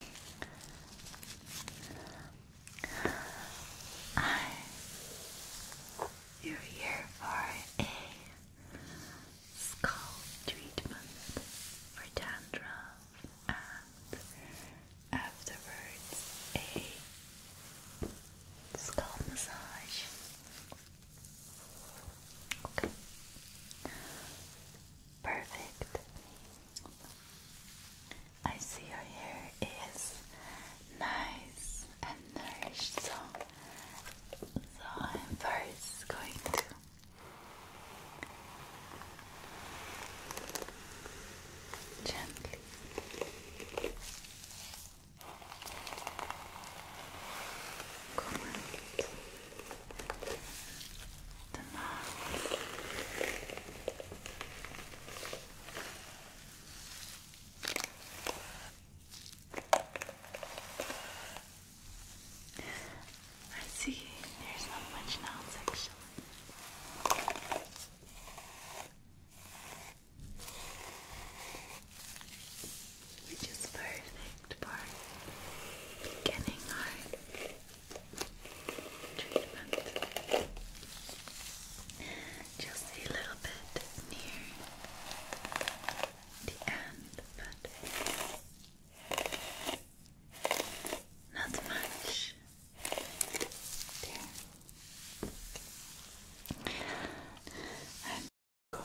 I you're here for a skull treatment for dandruff and afterwards a skull massage. Okay. Perfect. I see your hair is nice and nourished, so I'm first going to gently comb I see there's not much else actually. Which is perfect for beginning art treatment. Just a little bit near the end, but not much. I'm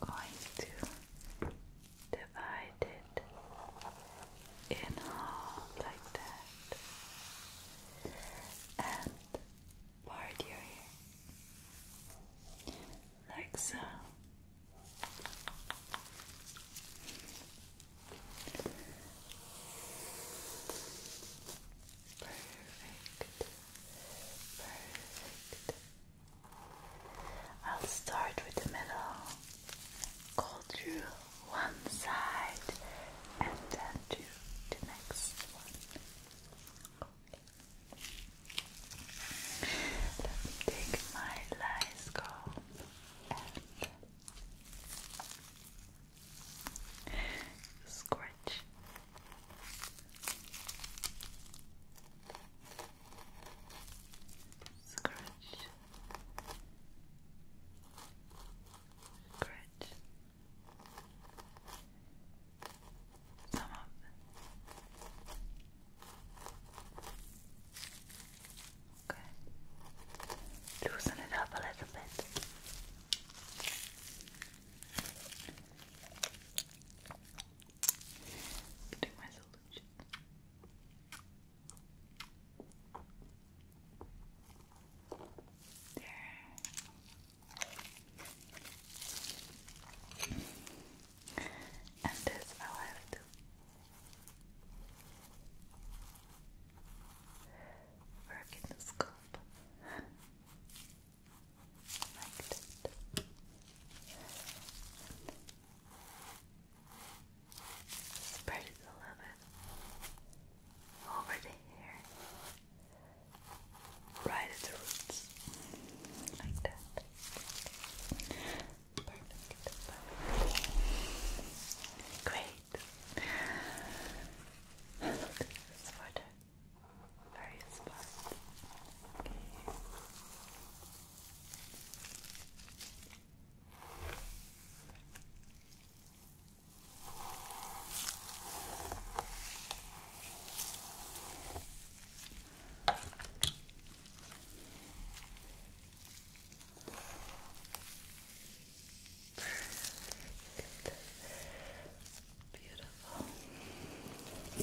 going to divide it inhale like that and part your ear like so perfect perfect I'll start with the middle go through one side and then to the next one. Let me take my lyscomb and scratch. Scratch, Grit. Some of Okay. Loosen it up a little bit. Getting my solution. There. And this i have to work in the scope like that. Spread it a little bit over the hair, right at like that. Perfect, perfect. Great. Look at this water. Very spot. Beautiful. Perfect.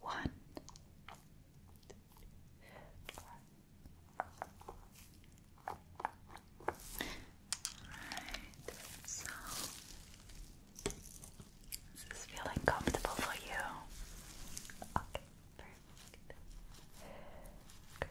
One, Alright, so is feeling comfortable for you? Okay, perfect. Good.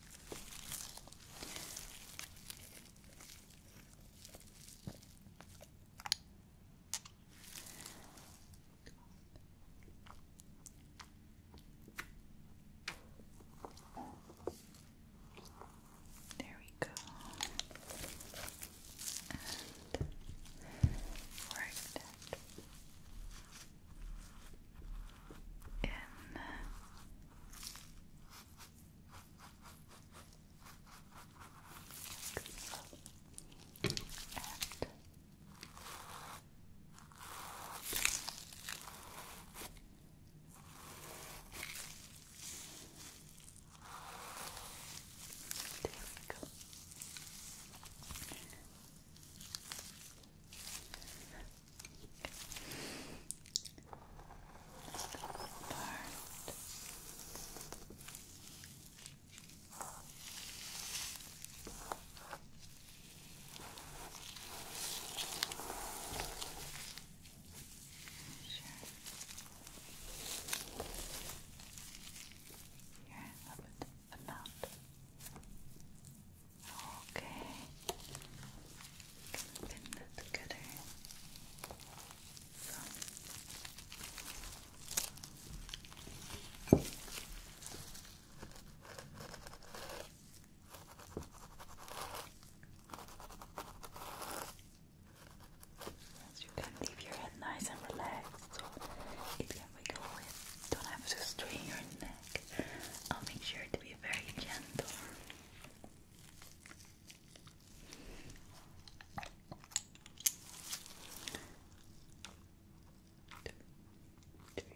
There we go. And work that in and there we go. Sure. You're love with the amount. Okay. Can pin that together. So. you can leave your head nice and relaxed so it can wiggle it. Don't have to strain your neck. I'll make sure to be very gentle. Two, three, four. Okay. Okay.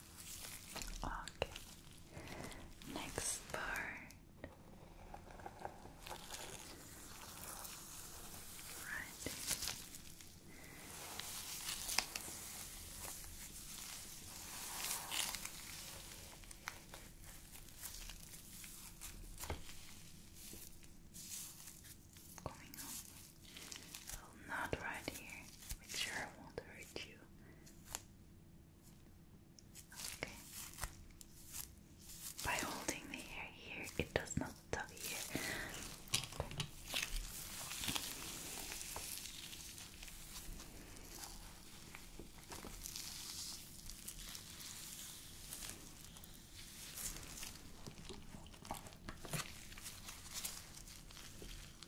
Okay. Next part. Right. Going up. Well, not right here. Make sure I won't hurt you. Okay. By holding the hair here, it does not tug here.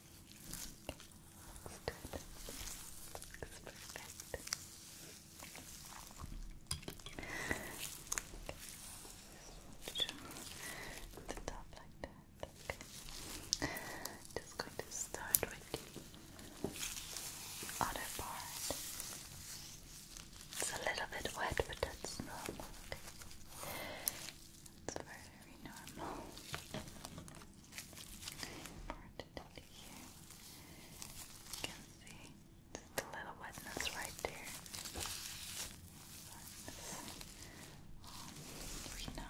Looks good. Looks perfect. Okay. The top like that. Okay. Just going to start with the other part. It's a little bit wet, but that's normal. Okay. That's very normal. Important to here. You can see just little wetness right there. we now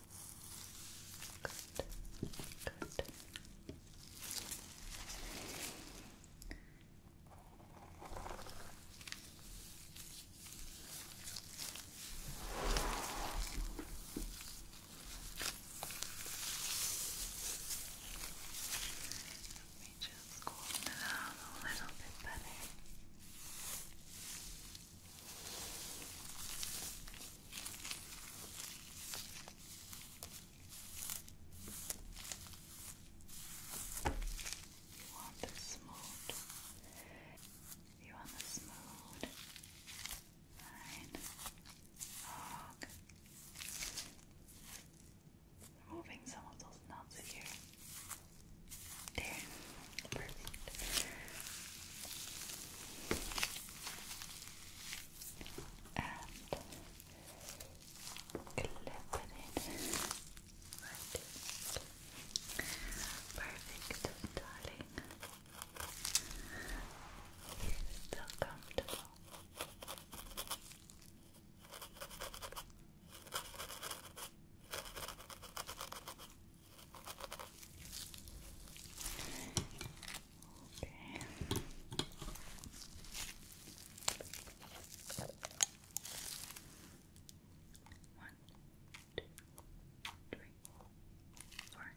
Good. Good. just cool it down a little bit better. You want the smooth. You want the smooth. Fine. Log. Removing some of those knots here. There. Perfect. And clip Perfect, darling. You're comfortable. Okay. One, two, three, four. Okay.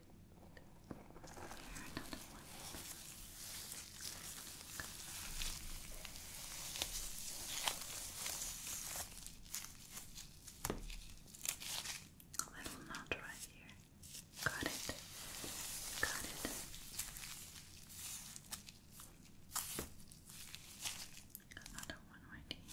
Here, another A little knot right here. Got it. Got it. Another one right here.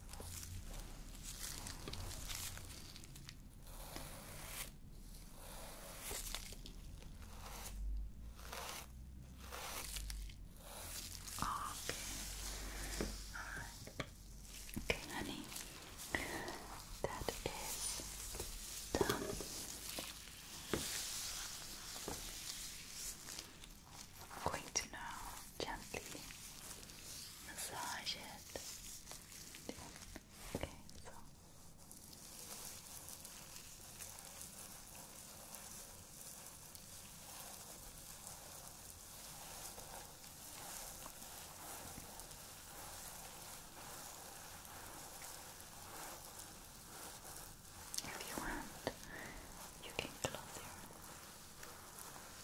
Okay. Alright. Okay, honey. That is done. I'm going to now gently massage it. Okay, so if you want, you can close your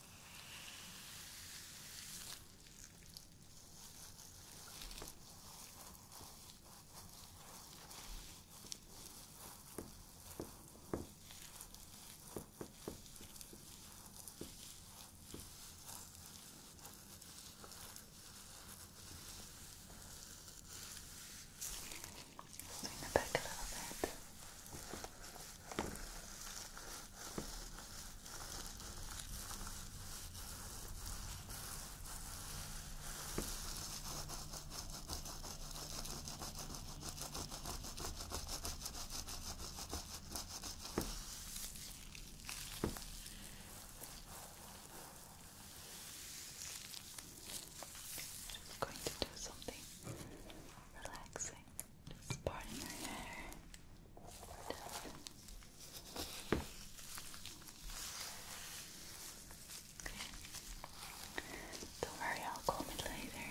Swing it back a little bit. I'm going to do something relaxing. Just part in her hair. Don't worry, I'll comb it later.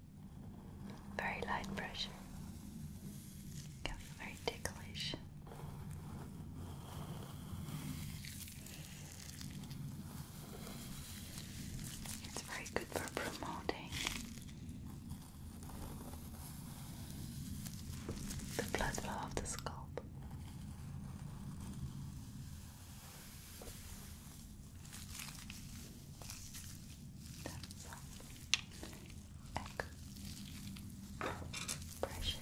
Very light pressure. very ticklish. It's very good for promoting the blood flow of the scalp. That's echo pressure.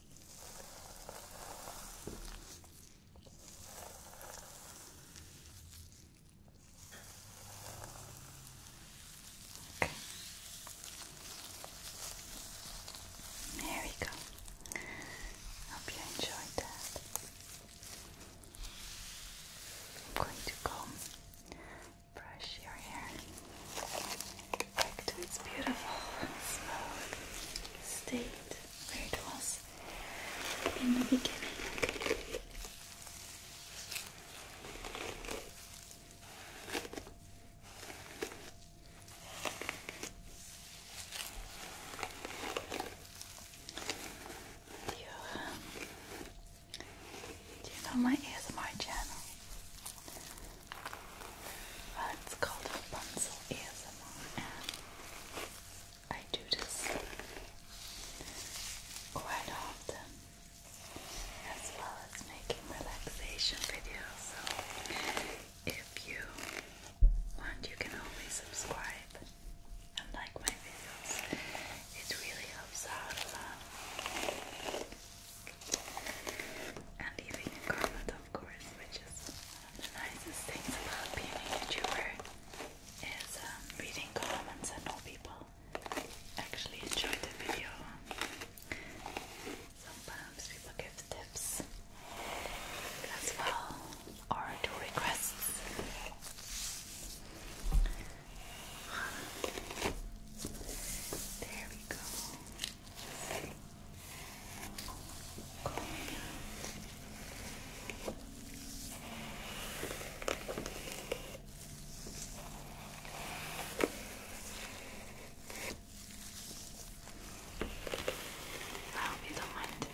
Okay. There we go. Hope you enjoyed that. I'm going to comb, brush your hair its beautiful smooth state where it was in the beginning. Do you, um, do you my channel? it's called Rapunzel ASMR, I do this quite often, as well as making relaxation videos. So, if you want, you can always subscribe and like my videos. It really helps out a lot. And leaving a comment, of course, which is the nicest things about being a YouTuber is um, reading comments and all people actually enjoy the video. Sometimes people give tips as well or do requests. There we go. I hope you don't mind the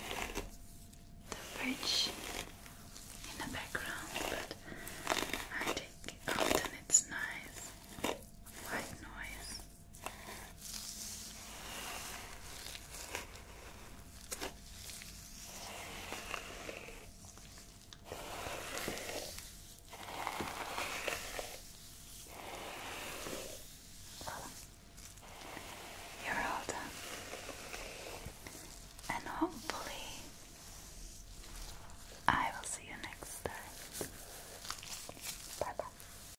bridge in the background, but I think often it's nice white noise. You're all done. And hopefully, I will see you next time. Bye bye.